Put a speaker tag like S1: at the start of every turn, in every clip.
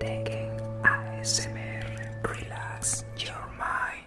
S1: Taking a ASMR, relax your mind.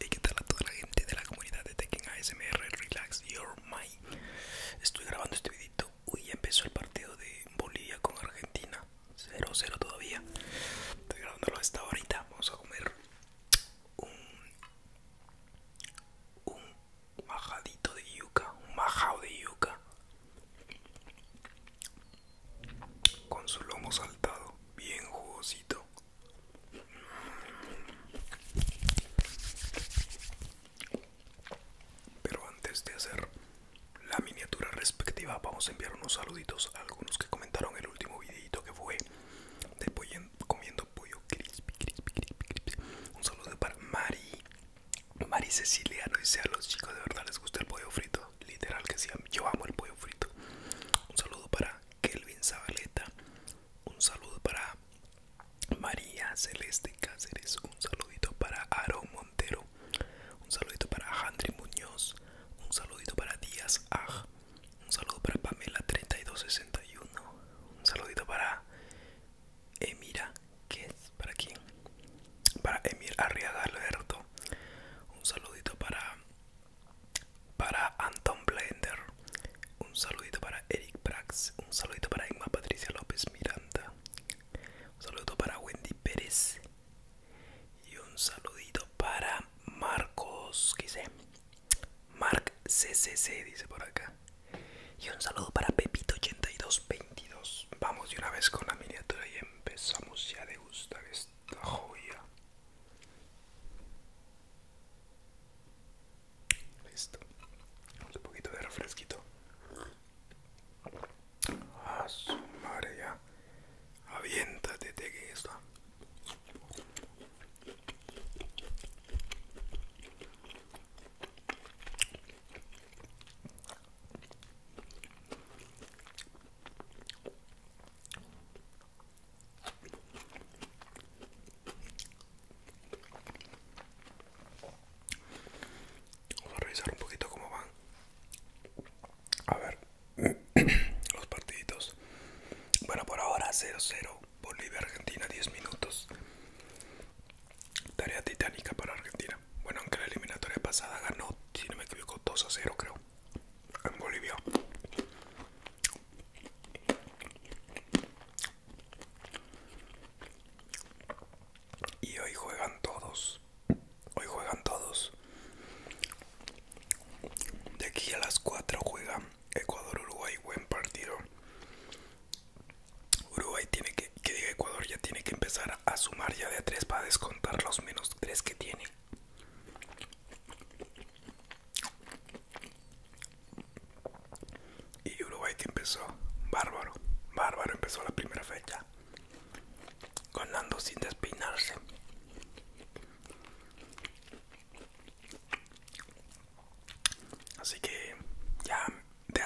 S1: Y qué tal a toda la gente de la comunidad de Tekken ASMR Relax Your Mind Estoy grabando este videito Uy, ya empezó el partido de Bolivia con Argentina 0-0 todavía Estoy grabándolo hasta ahorita Vamos a comer un, un majadito de yuca Un majao de yuca Con su lomo saltado Bien jugosito pero antes de hacer la miniatura respectiva, vamos a enviar unos saluditos a algunos que comentaron el último videito que fue de pollo, comiendo pollo crispy, Un saludo para Mari. Mari Cecilia no dice a los chicos de verdad les gusta el pollo frito. Literal que sí, yo amo el pollo frito. Un saludo para Kelvin Zabaleta. Un saludo para María Celeste Cáceres. Un saludito para Aaron Montero. Un saludito para Jandri Muñoz. Un saludito para Díaz Aj. Un saludo para Pamela 3261. Un saludito para Emira. ¿Qué es? ¿Para quién? Para Emir Arriaga Alberto. Un saludito para para Anton Blender, un saludito para Eric Brax, un saludito para Emma Patricia López Miranda, un saludo para Wendy Pérez y un saludito para Marcos, ¿qué dice? Marc CCC dice por acá. Y un saludo para Pepito8222. Vamos de una vez con la miniatura y empezamos ya de gustar esta joya. Listo. Un poquito de refresquito. A ah, su madre ya. Aviéntate de que está. Vamos a revisar un poquito cómo van. A ver, los partiditos. Bueno, por ahora 0-0. Bolivia-Argentina, 10 minutos. Tarea titánica para Argentina. Bueno, aunque la eliminatoria pasada ganó, si me equivoco, 2 0, creo en Bolivia. Y hoy juegan todos. Hoy juegan todos. De aquí a las 4 juega Ecuador-Uruguay. Buen partido. Uruguay tiene que, que diga Ecuador, ya tiene que empezar a sumar ya de a 3 para descontar los menos 3 que tiene. Y Uruguay que empezó bárbaro, bárbaro empezó la primera fecha, ganando sin despeinarse. Así que ya de,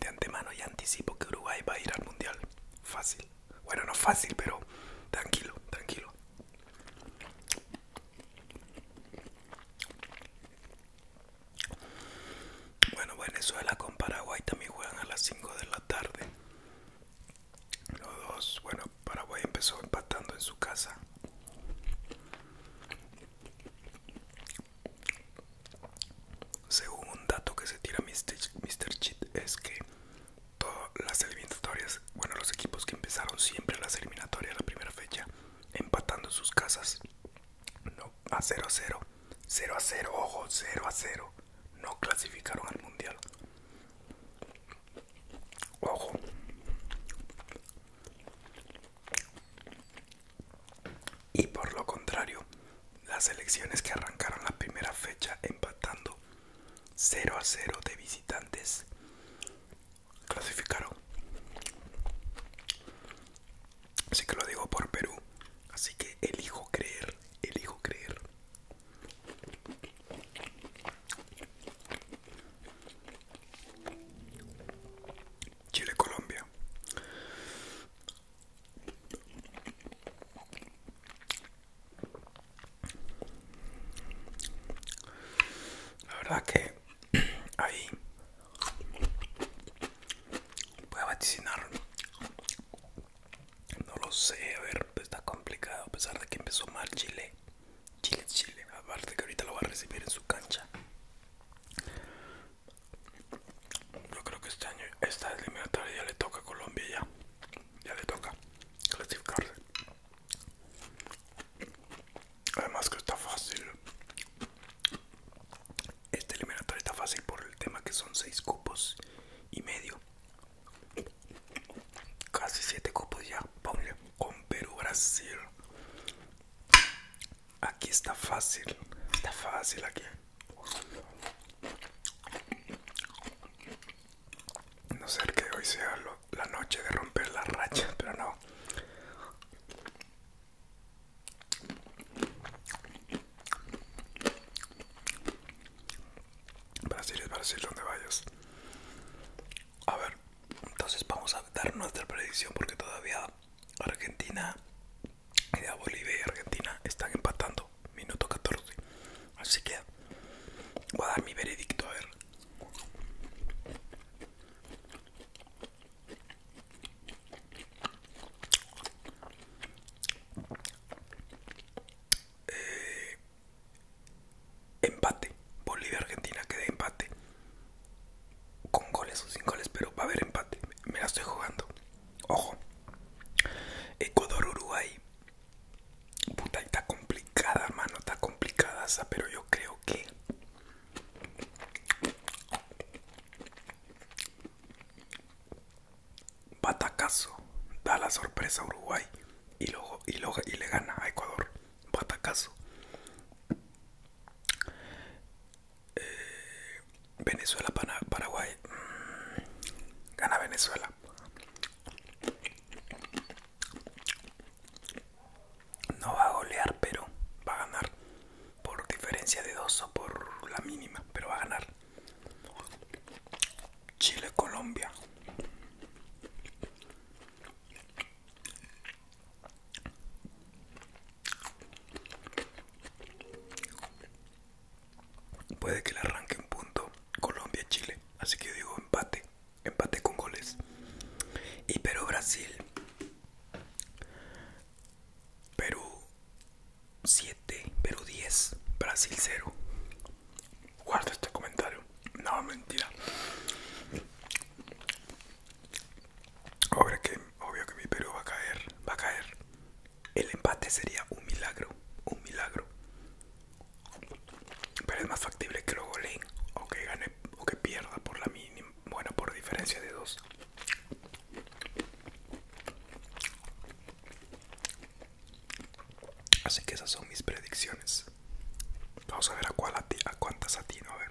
S1: de antemano ya anticipo que Uruguay va a ir al mundial fácil. Bueno, no fácil, pero tranquilo, tranquilo. Bueno, Venezuela con Paraguay también juegan a las 5 de la tarde. Los dos, bueno, Paraguay empezó empatando en su casa. Según un dato que se tira Mr. Cheat es que todas las eliminatorias, bueno, los equipos que empezaron siempre las eliminatorias la primera fecha, empatando sus casas no, a 0 a 0, 0 a 0, ojo, 0 a 0, no clasificaron al mundial. Ojo. Y por lo contrario, las elecciones que arrancaron la primera fecha empatando 0 a 0 de visitantes clasificaron. Así que lo digo por Perú. Así que elijo creer, elijo creer. Chile Colombia. La verdad que ahí voy a vaticinar. No lo sé, a ver, pues está complicado a pesar de que empezó mal Chile. Chile, Chile, aparte que ahorita lo va a recibir en su cancha. Yo creo que este año, esta eliminatoria ya le toca a Colombia ya. Ya le toca clasificarse. Además que está fácil. Este eliminatorio está fácil por el tema que son 6 cupos y medio. Casi 7 cupos ya, ponle, con Perú, Brasil. Aquí está fácil, está fácil aquí no sé que hoy sea la noche de romper las rachas, pero no. Brasil es Brasil donde vayas. A ver, entonces vamos a dar nuestra predicción porque todavía Argentina Bolivia y Argentina están empatando minuto 14 así que voy a dar mi veredicto a ver eh, empate Bolivia Argentina queda empate con goles o sin goles pero va a haber empate me la estoy jugando Ojo, Ecuador, Uruguay. Puta, está complicada, mano, está complicada pero yo creo que... Batacazo da la sorpresa a Uruguay y, luego y, y le gana a Ecuador. Batacazo. Eh, Venezuela Venezuela, Paraguay. Mm, gana Venezuela. No va a golear, pero va a ganar. Por diferencia de dos o por la mínima, pero va a ganar. Chile, Colombia. Puede que le arranque un punto Colombia-Chile. Así que yo digo empate. Empate con goles. Y Perú-Brasil. Perú 7, Perú 10, Brasil 0. Guarda este comentario. No, mentira que obvio que mi Perú va a caer, va a caer. El empate sería un milagro, un milagro. Pero es más factible que lo goleen o que gane o que pierda por la mínima, bueno, por diferencia de dos. Así que esas son mis predicciones. Vamos a ver a, cuál a cuántas atino, a ver.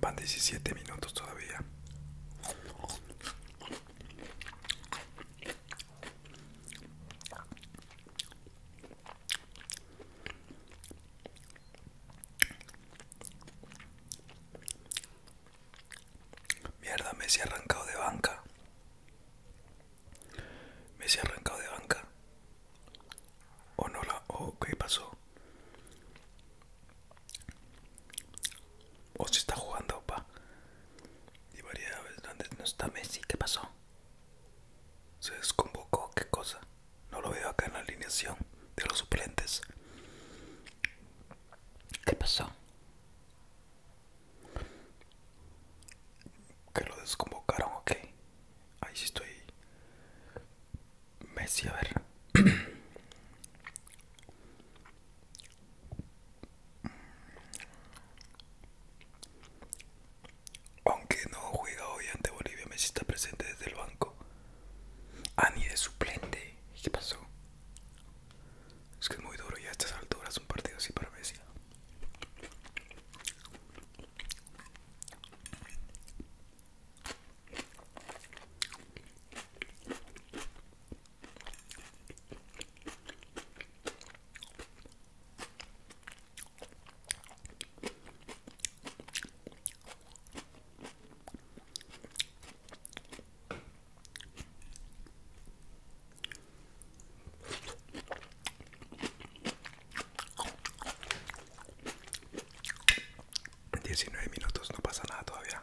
S1: Van 17 minutos todavía. Mierda, me se ha arrancado de banca. se ha arrancado de banca. ¿O no la.? ¿O qué pasó? O si está jugando, pa. Y veces dónde no está Messi, ¿qué pasó? Se desconvocó, ¿qué cosa? No lo veo acá en la alineación de los suplentes. ¿Qué pasó? Que lo desconvocaron, ok. Ahí sí estoy. Messi, a ver. Aunque no juega hoy ante Bolivia, Messi está presente desde el banco. Ah, ni de suplente. ¿Qué pasó? Es que es muy duro y a estas alturas un partido así para Messi. 19 minutos, no pasa nada todavía.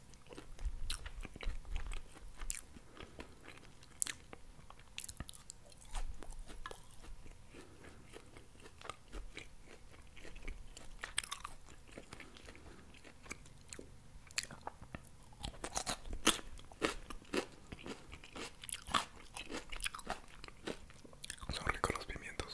S1: Son ricos los pimientos.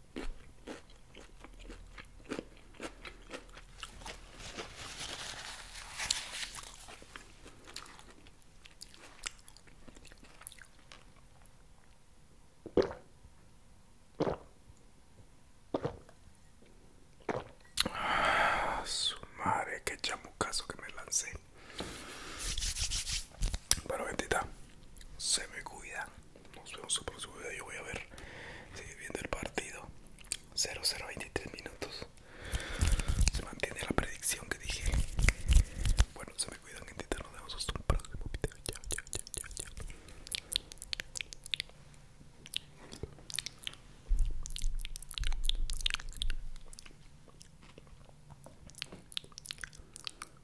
S1: Ah, su madre, qué chamucazo que me lancé. Pero bendita, se me cuida. Nos vemos en super próximo video. Yo voy a ver, seguir viendo el partido. 0-0-23 minutos. Se mantiene la predicción que dije. Bueno, se me cuidan, gente. Nos vemos hasta un próximo video. ya, chao, chao, chao, chao.